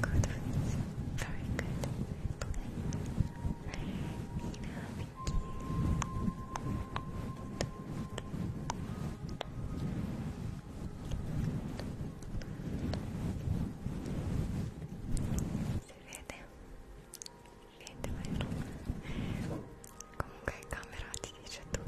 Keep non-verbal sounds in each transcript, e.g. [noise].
good face. Very good. Play. Nina, thank you. Si vede? Niente vero? Comunque camera ti dice tu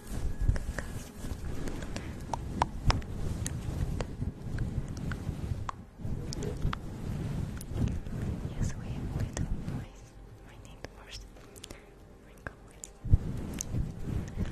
Yes, we have little noise. We need first wrinkle with. Yes,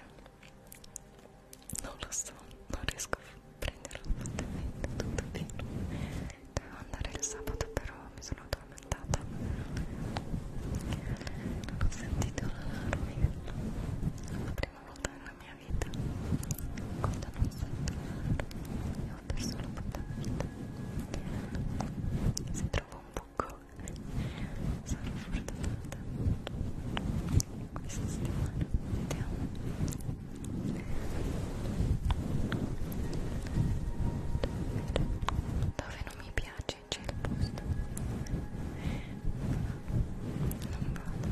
non lo so, non riesco a prenderlo fortemente, tutto bene dovevo andare il sabato però mi sono addormentata non ho sentito l'allarme la prima volta nella mia vita quando non sento l'allarme e ho perso la puttana vita se trovo un buco sono fortunata questa settimana vediamo dove non mi piace c'è il posto non vado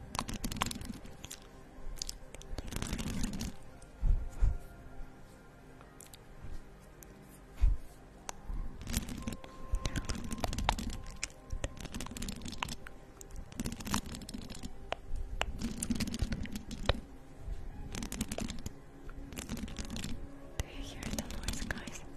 Do you hear the noise, guys?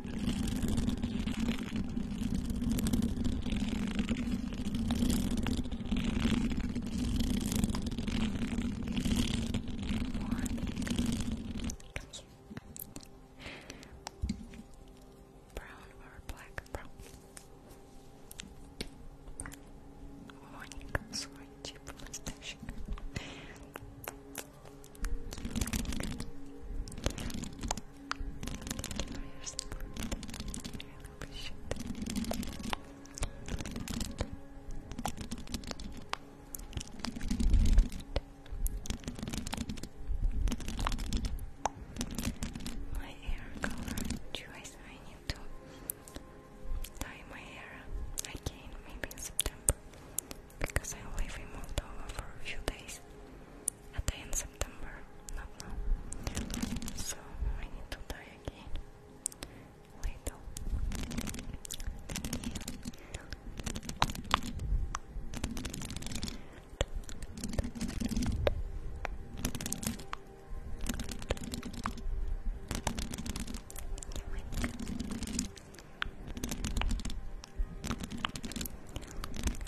Brown or black? Brown. Morning, sorry, cheap mustache. Keep my hair color choice I need to dye my hair again maybe in September because I live in Moldova for a few days at the end of September, not now. So I need to die again. Later.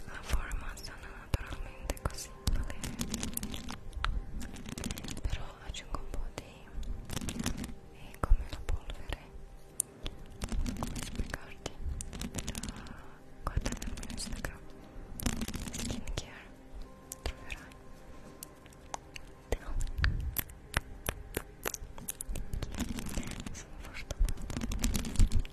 la forma sono naturalmente così okay. però aggiungo un po' di e come la polvere come spiegarti guardate il mio instagram skincare troverai sono forte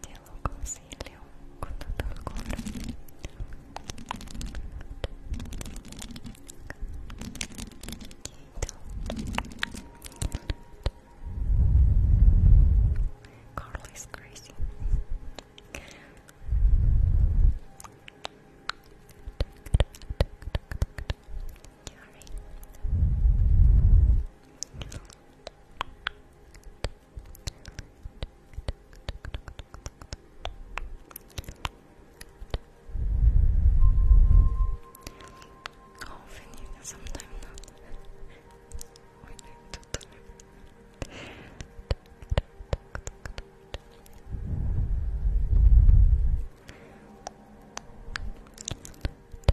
te lo consiglio con tutto il cuore is crazy Oh, Vinny, sometimes not. When I do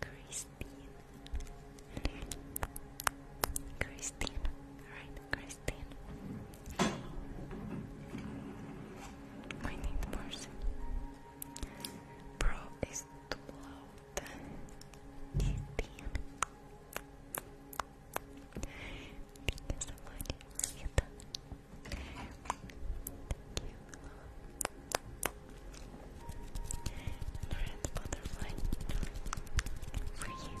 Christine. Christine. Alright, Christine. We need person. Bro is too loud. Christine. Thank you so much. Red butterfly for you.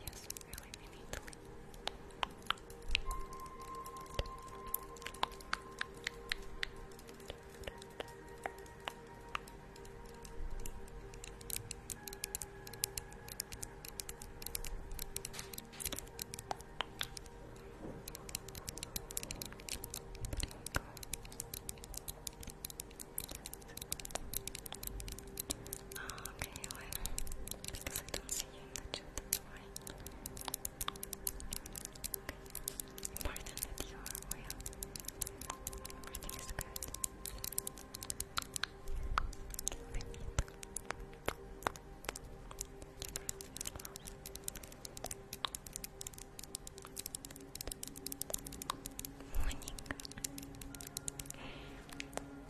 Yes, really, we need to leave. There Oh, okay, well, because I don't see you in the chat, that's why. Important that you are Everything is good. Benito. Morning.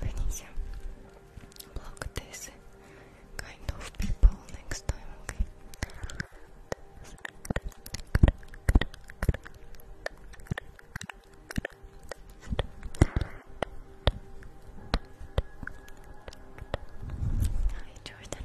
Venezia, block this kind of people next time, Hi Jordan.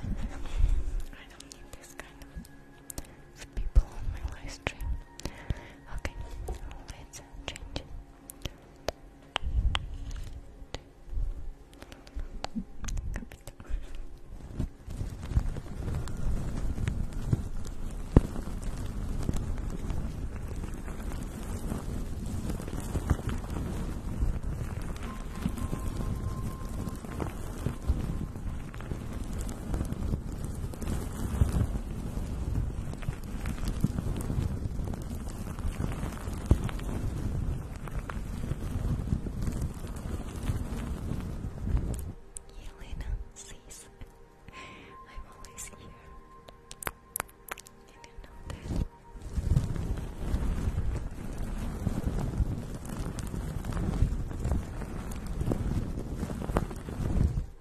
I don't need this kind of people on my live Okay, let's change. Yelena sees. I'm always here. You didn't know that.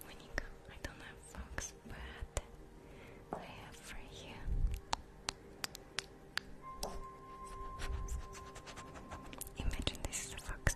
When you go, I don't have fox, but I have for you. Imagine this is a fox.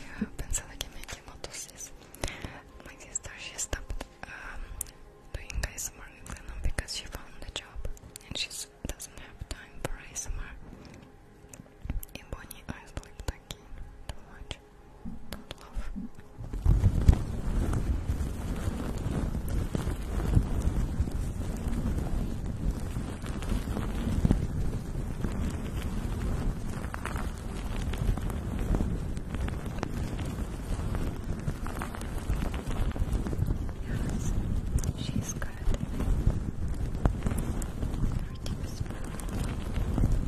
Я pensava que a minha tia matou vocês Mas you she stopped doing ASMR in because she found a job and she doesn't have time for ASMR. И Бонни Айс like, такие, too much love. Yes, she's good. Her team is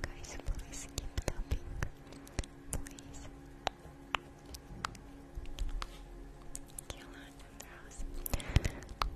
Guys, please keep tapping. Please.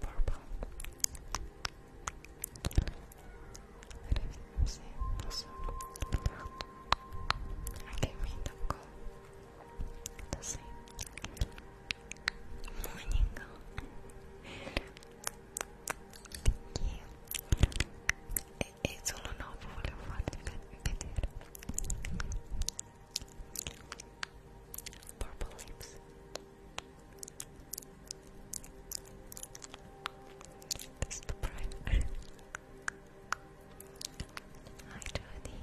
Purple. I don't also. I can read the call. The same. Morning. Thank you. E solo dopo volevo farti vedere. Purple lips. That's the primer. [laughs] Hi, Jody.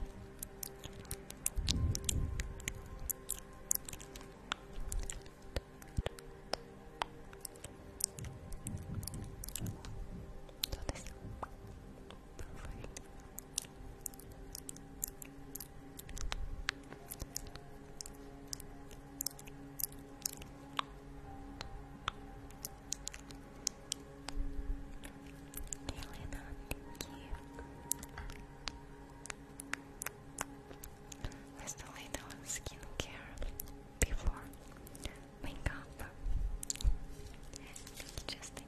So this profile. Elena, thank you. a little skincare before makeup. Just think.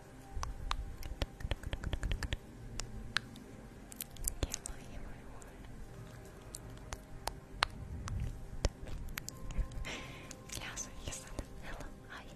Hello, everyone. yeah, so he said, hello, hi. Hello.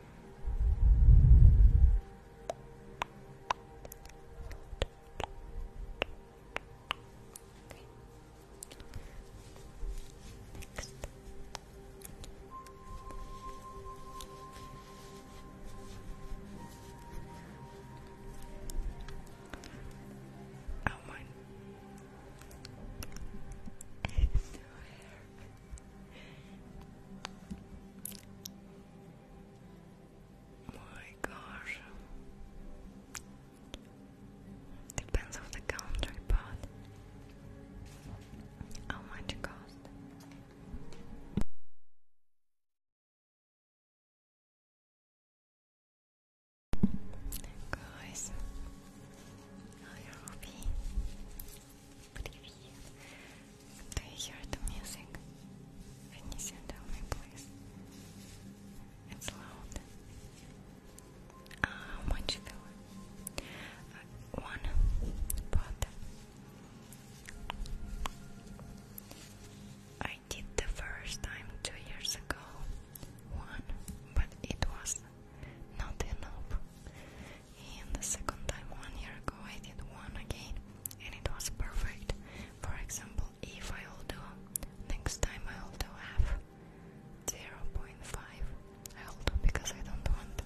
Next. Oh [laughs] my. It's so hair. My gosh. Depends on the country, but how much cost? Guys, I hope do you hear the music? Venetia, tell me, please. It's loud. how much filler? Uh, one pot. I did the first time two years ago. One, but it was not enough. And the second time, one year ago, I did one again, and it was perfect. For example, if I hold do next time, I hold do half 0.5. I hold do because I don't want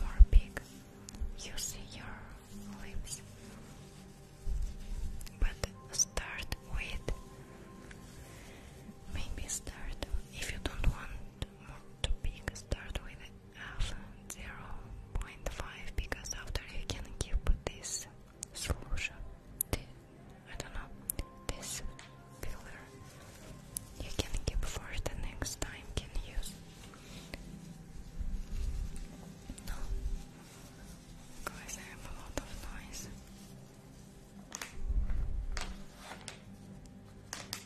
more big. You see your lips, but start with maybe start if you don't want more too big. Start with 0.5 because after you can keep this solution, I don't know, this filler, you can keep for the next time can use. No, guys, I have a lot of noise.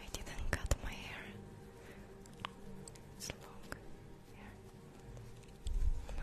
I didn't cut my hair. It's long hair. No.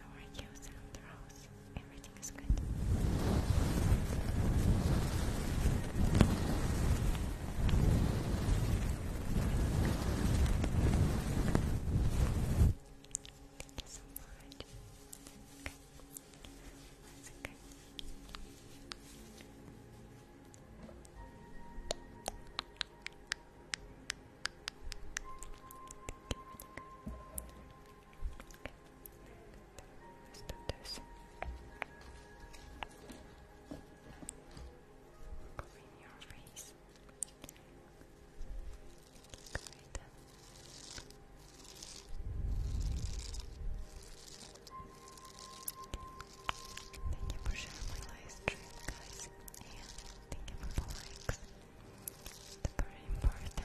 How are you, Sandros? Everything is good. Thank so much. Okay. Let's do this. your face. Good. Thank you for sharing my live guys, and thank you for the likes. It's very important.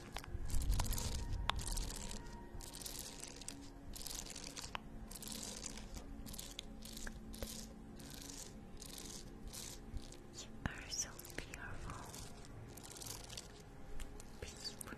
You are so beautiful. Peaceful.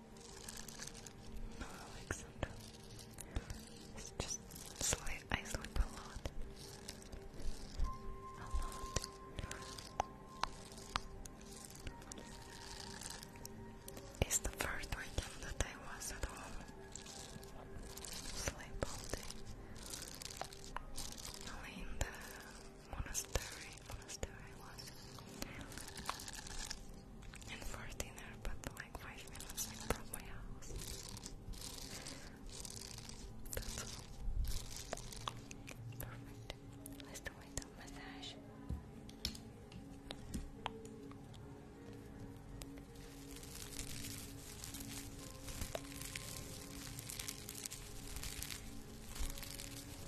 No, Alexander. It's just sleep. I sleep a lot. A lot. It's the first weekend that I was at home. Sleep all day. Only in the monastery. Monastery and for dinner, but like five minutes from my house. Perfect. Let's do my thumb massage.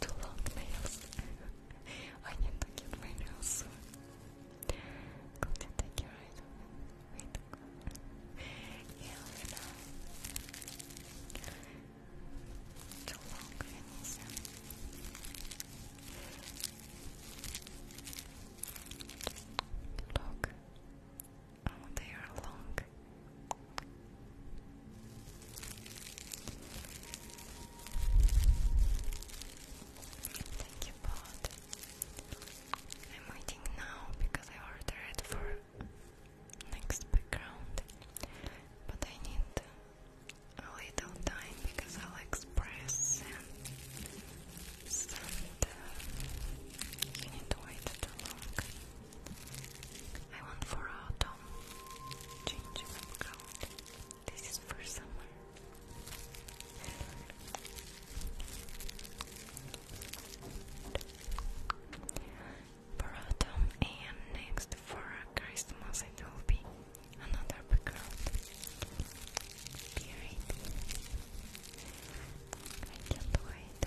Too long nails. [laughs] I need to get my nails soon. Go take your right Wait. Yeah, I know. Too long nails. Look. Oh, they are long. Thank you, I'm waiting now because I ordered for next background, but I need a little time because I'll express and send. Uh, you need to wait too long. I want for autumn change background. This is for summer. For autumn and next for Christmas it will be another background. Period. I can't wait.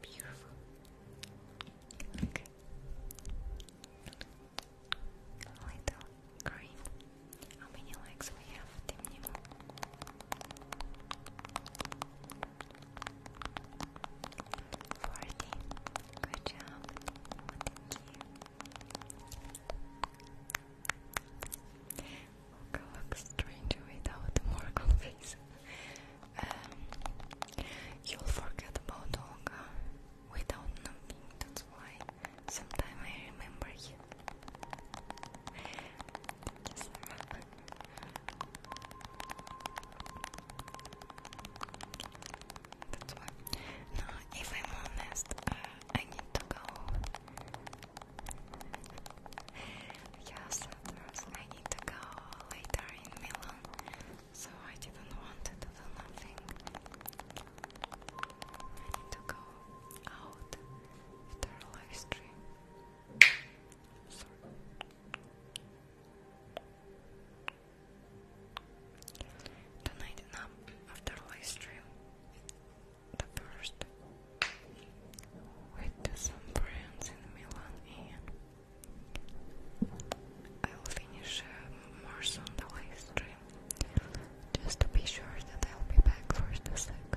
Beautiful. Okay. little green. How many legs we have? Темним. Forty. Good job. Thank you. Go look stranger without the face. [laughs] you'll forget about Olga without knowing. That's why sometimes [laughs] I remember you happen. That's why. No, if I'm honest, uh, I need to go. yes, I need to go later in Milan, so I didn't want to do nothing. I need to go out after live stream. Sorry. Tonight nap um, after live The first with some friends in Milan I'll finish uh, more soon the just to be sure that I'll be back for the second.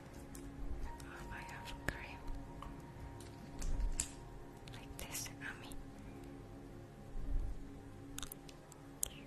Oh my cream. Like this on me. Thank you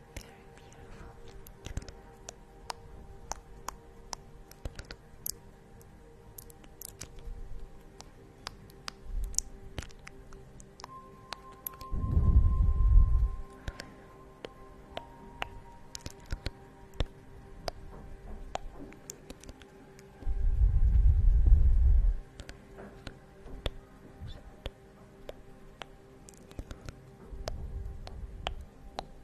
Very beautiful.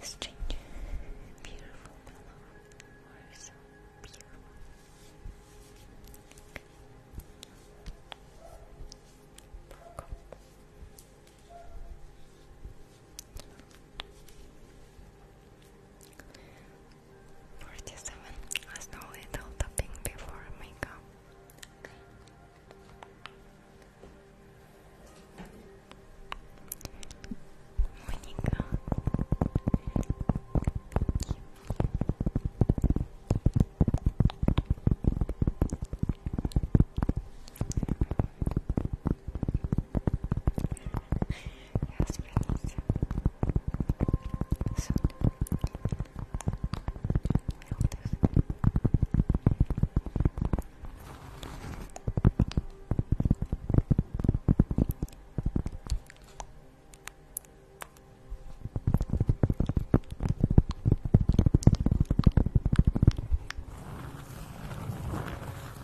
This change beautiful pillow are beautiful. Okay. Forty-seven. As no little tapping before makeup. Monica yes, please. Soon. We'll do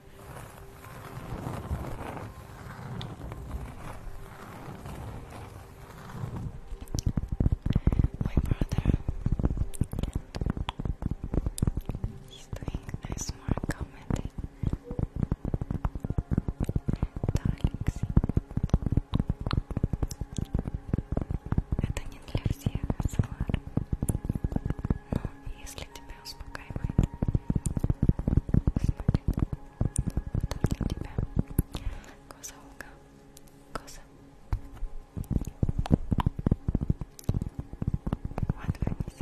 My brother, he's doing nice work commenting. Darlings. Это не для всех, Асмар. но если тебя успокаивает, смотрит, то для тебя коза Олга, коза. Отвернись. Отвернись.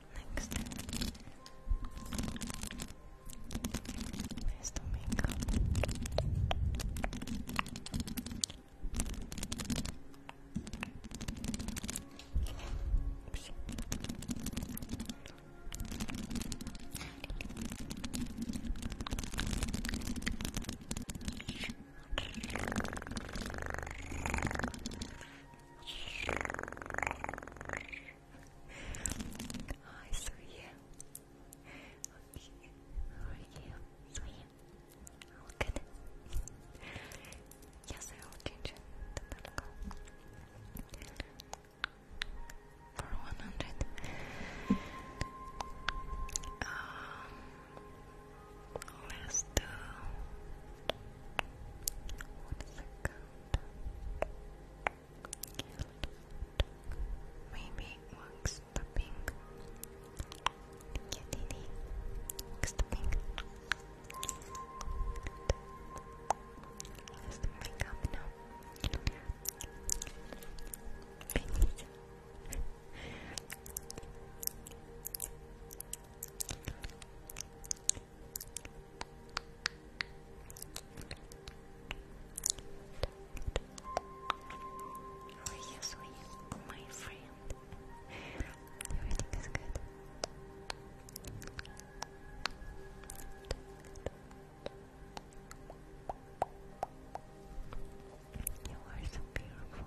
Next, there's the makeup. Oops. Hi, Suya. Okay, are you? Suya? All good? Yes, I will change the protocol. For 100. Um, let's do... One second. Maybe wax the pink. Kitty, the pink. the makeup now? Finish. How are you, sweet, my friend? Everything is good. You are so beautiful.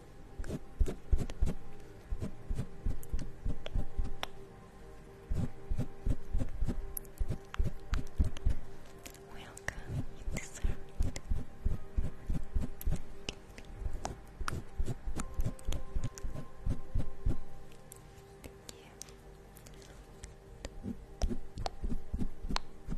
Welcome, you deserve it. Thank you.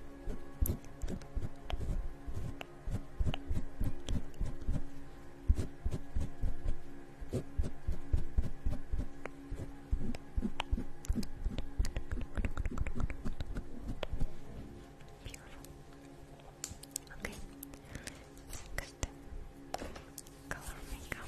Beautiful. Okay. Next, color makeup.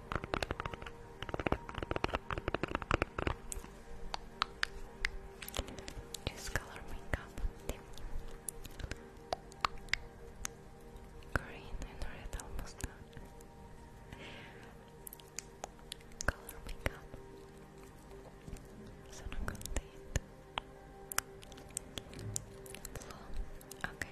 Just color makeup Green and red almost done. Color makeup. Sono contenta. Blue. Okay.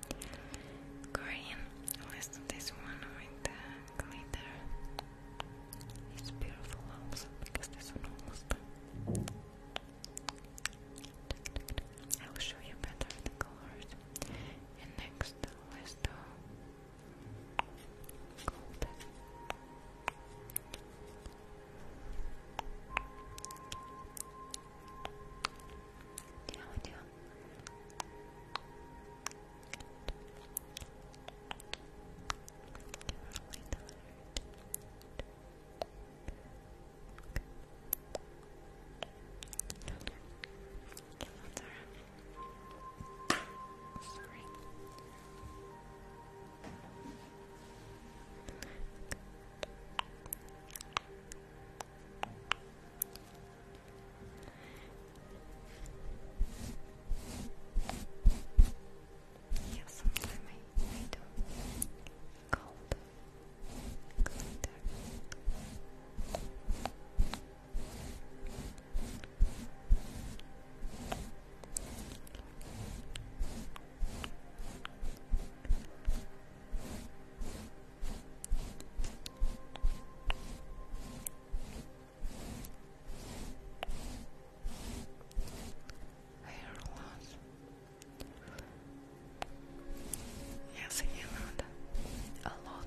Green. Let's do this one with the It's beautiful also because this one almost done. I will show you better the colors. And next, let's do gold. Yeah, we Sorry. Okay. Yeah, sometimes I, I do cold glitter. Thank Hair loss. Yes, you know that. A lot.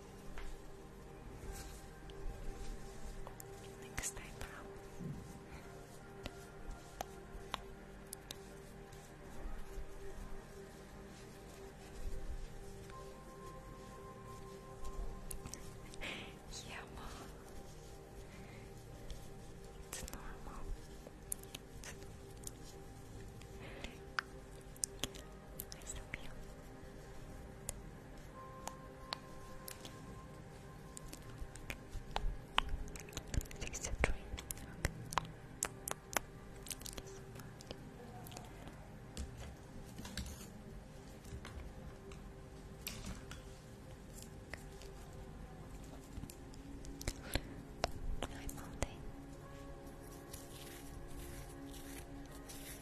Next time [laughs] yeah, well, it's normal. You're so beautiful. Sixty three. Thank you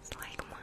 It's like mine.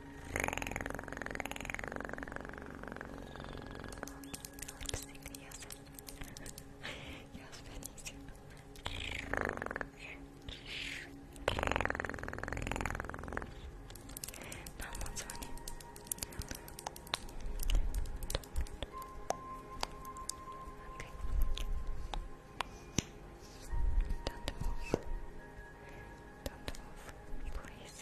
Lip sync, yes. yes, Benicio. Now Don't move. Don't move, please.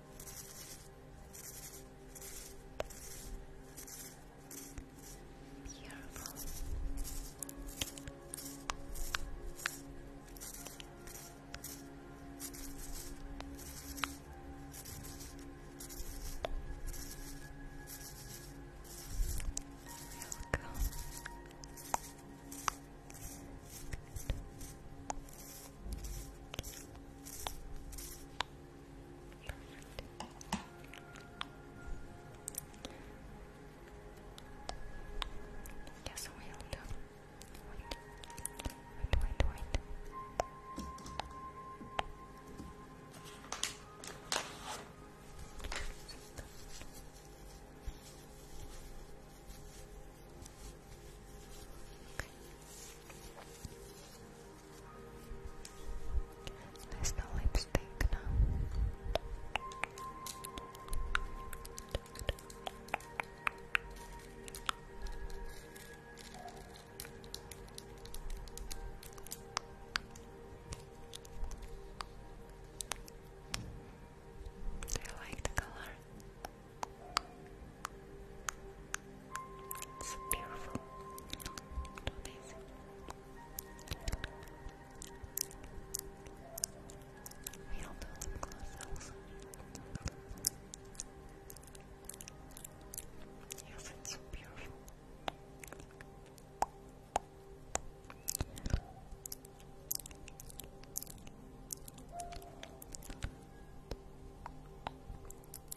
Beautiful. Welcome. Perfect. Yes, we'll Wait, wait, wait, wait. There's the lipstick Do you like the color? It's beautiful. Do We'll do lip gloss also. Yes, it's so beautiful.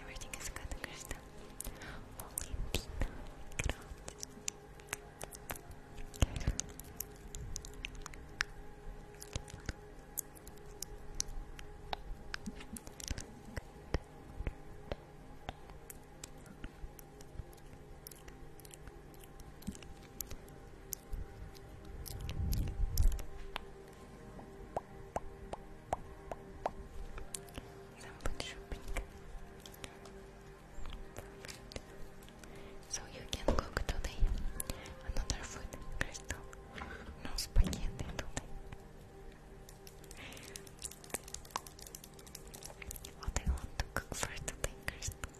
Everything is good, Krista. Valentina, Good. Some So you can cook today another food, Crystal. No spaghetti today. What do you want to cook for today,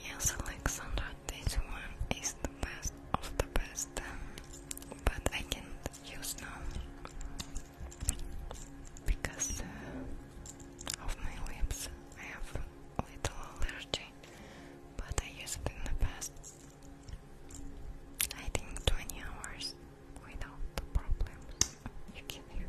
Yes, Alexander, this one is the best of the best, but I can't use now because uh, of my lips. I have a little allergy, but I used it in the past. I think 20 hours without problems. You can use.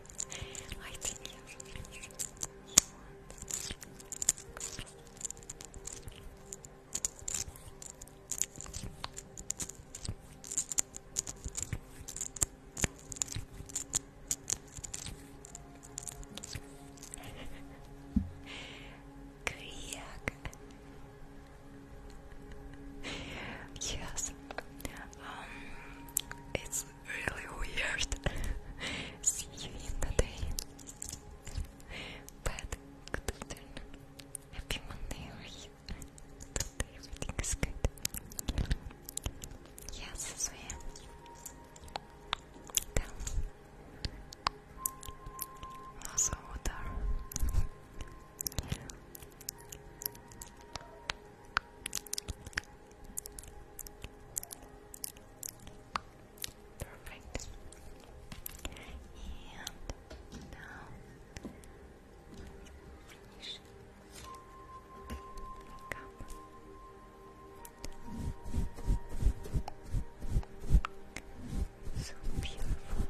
I think you Kyak. [laughs] Yes. Um, it's was really weird. [laughs] See you in the day. But good afternoon. Happy Monday, everything is good. Yes, so Also, water. Perfect. And now finish makeup. So beautiful.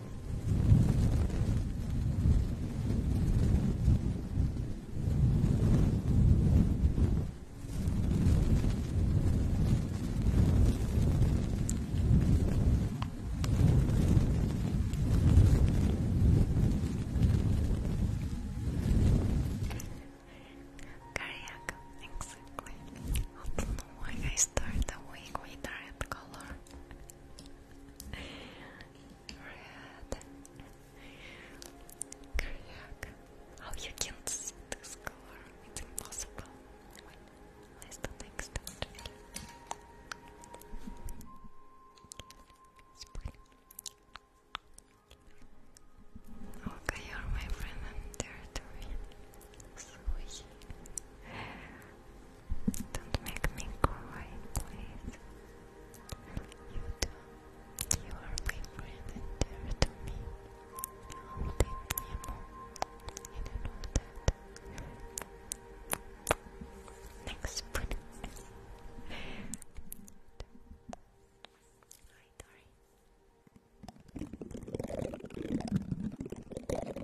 Cardiac, exactly. I don't know why I start the week with that color. Red. Crack. How oh, you can see this color? It's impossible. Wait, where's the next Okay, you're my friend and dare to win. Sweet. Don't make me cry, please. You are my friend and dear to me. I'll be Nemo. You know that. Next pudding. Hi, Tori.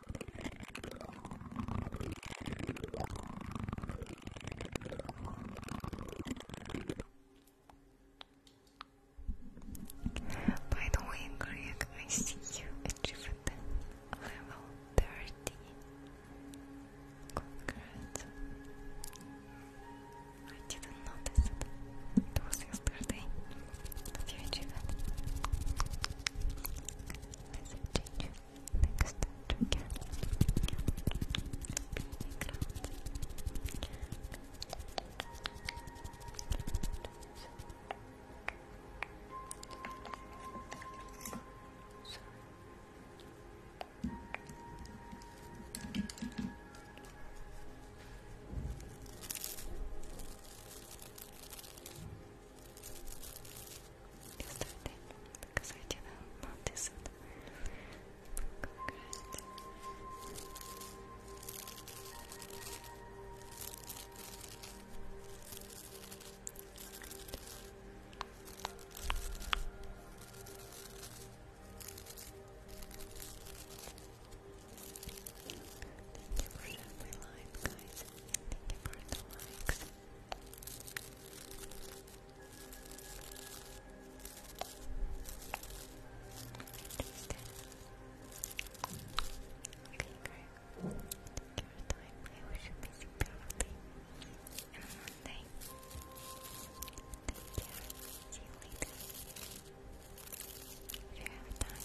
By the way, Greg, I see you achieved level 30. Congrats. I didn't notice it. It was yesterday that you achieved visiting you next time again yesterday because I it. Congrats. Thank you for Thank you Okay, great. Thank you time. I wish you a busy, beautiful and Monday. Take care. See you later. If you have time,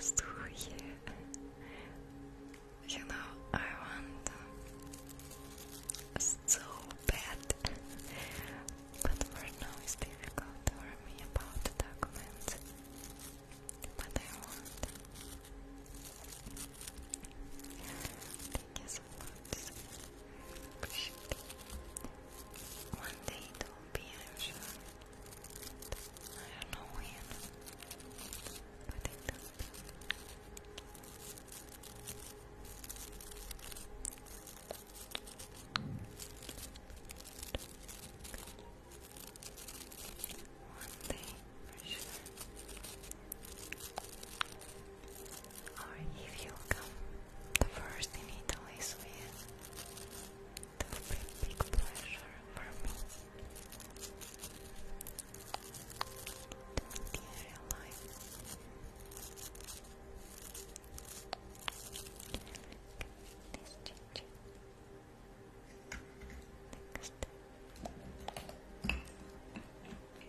through here. You know, I want uh, so bad, but right now it's difficult for me about the documents. But I want. Thank you months. One day it will be, I'm sure. I don't know when, but it will be. One day, for sure or if you come the first in Italy, it will be a big pleasure for me to meet you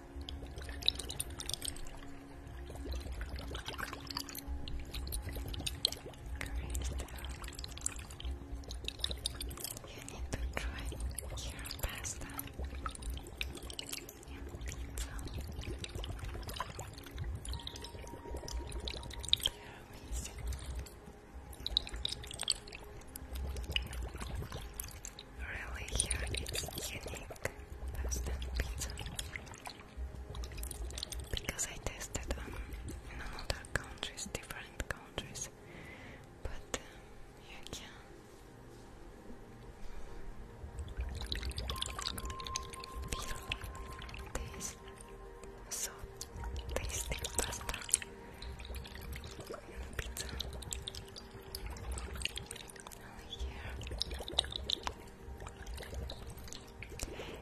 You need to try your pasta and pizza. They're amazing really here it's unique Boston pizza because I tasted on um, in countries, different countries, but um, you can. so tasty pasta pizza.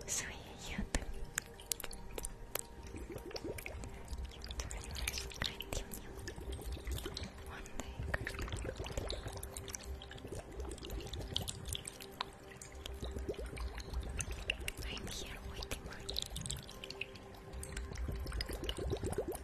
Sweet, you continue. One day, I'm here waiting for you.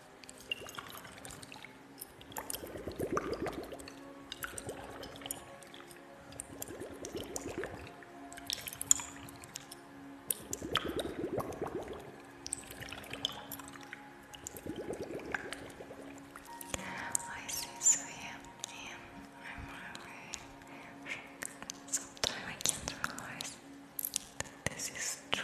I see, so yeah, I'm aware. Sometimes I can't realize that this is true.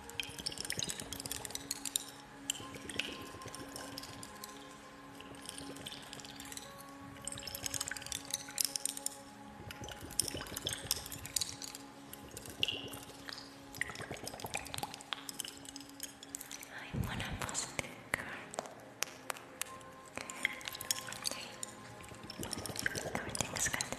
I want a positive card. Everything's good.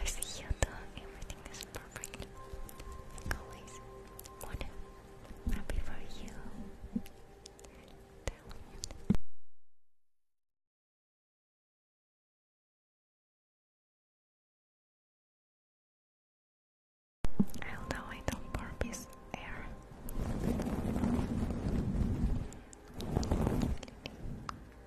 I see you Everything is perfect. always. One happy for you. Down. I don't know air.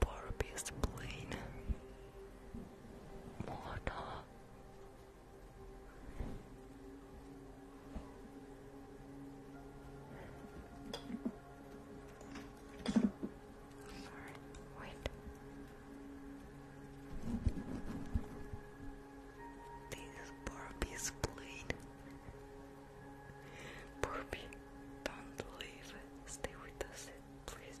Barbie's plane. Mona Sorry, wait. This Barbie's plane. Barbie, don't leave. Stay with us, please.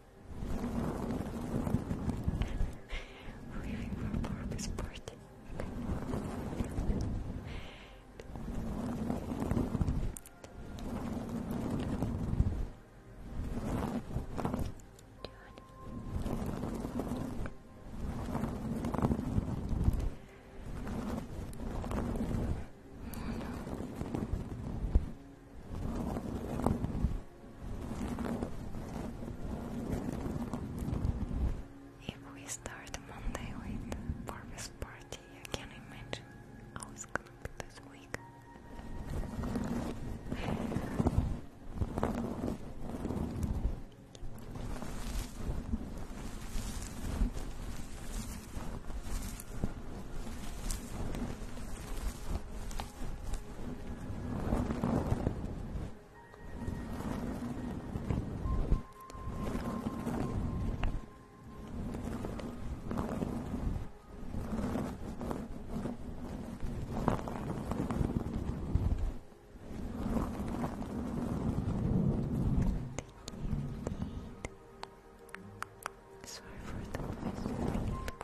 Leaving for Barbie's party. Oh, no. If we start Monday with Barbie's party, I can not imagine how it's gonna be this week. Sorry for the noise.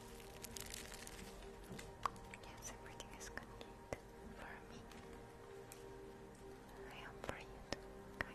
Yes, everything is complete for me. I am you too, guys.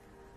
Thank you, Max.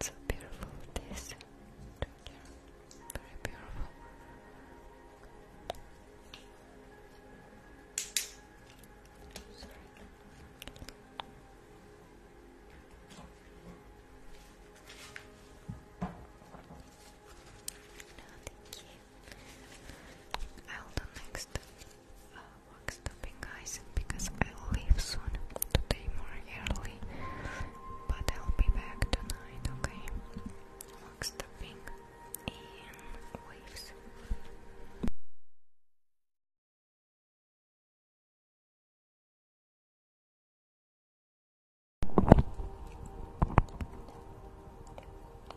so beautiful this very beautiful. No, thank you. I'll do next uh, guys, because i leave soon today more early, but I'll be back tonight, okay? Work in waves.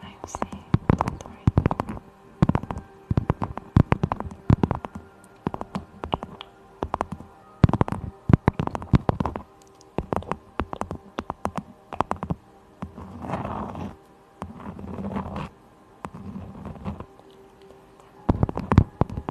I'm safe, don't worry. Thank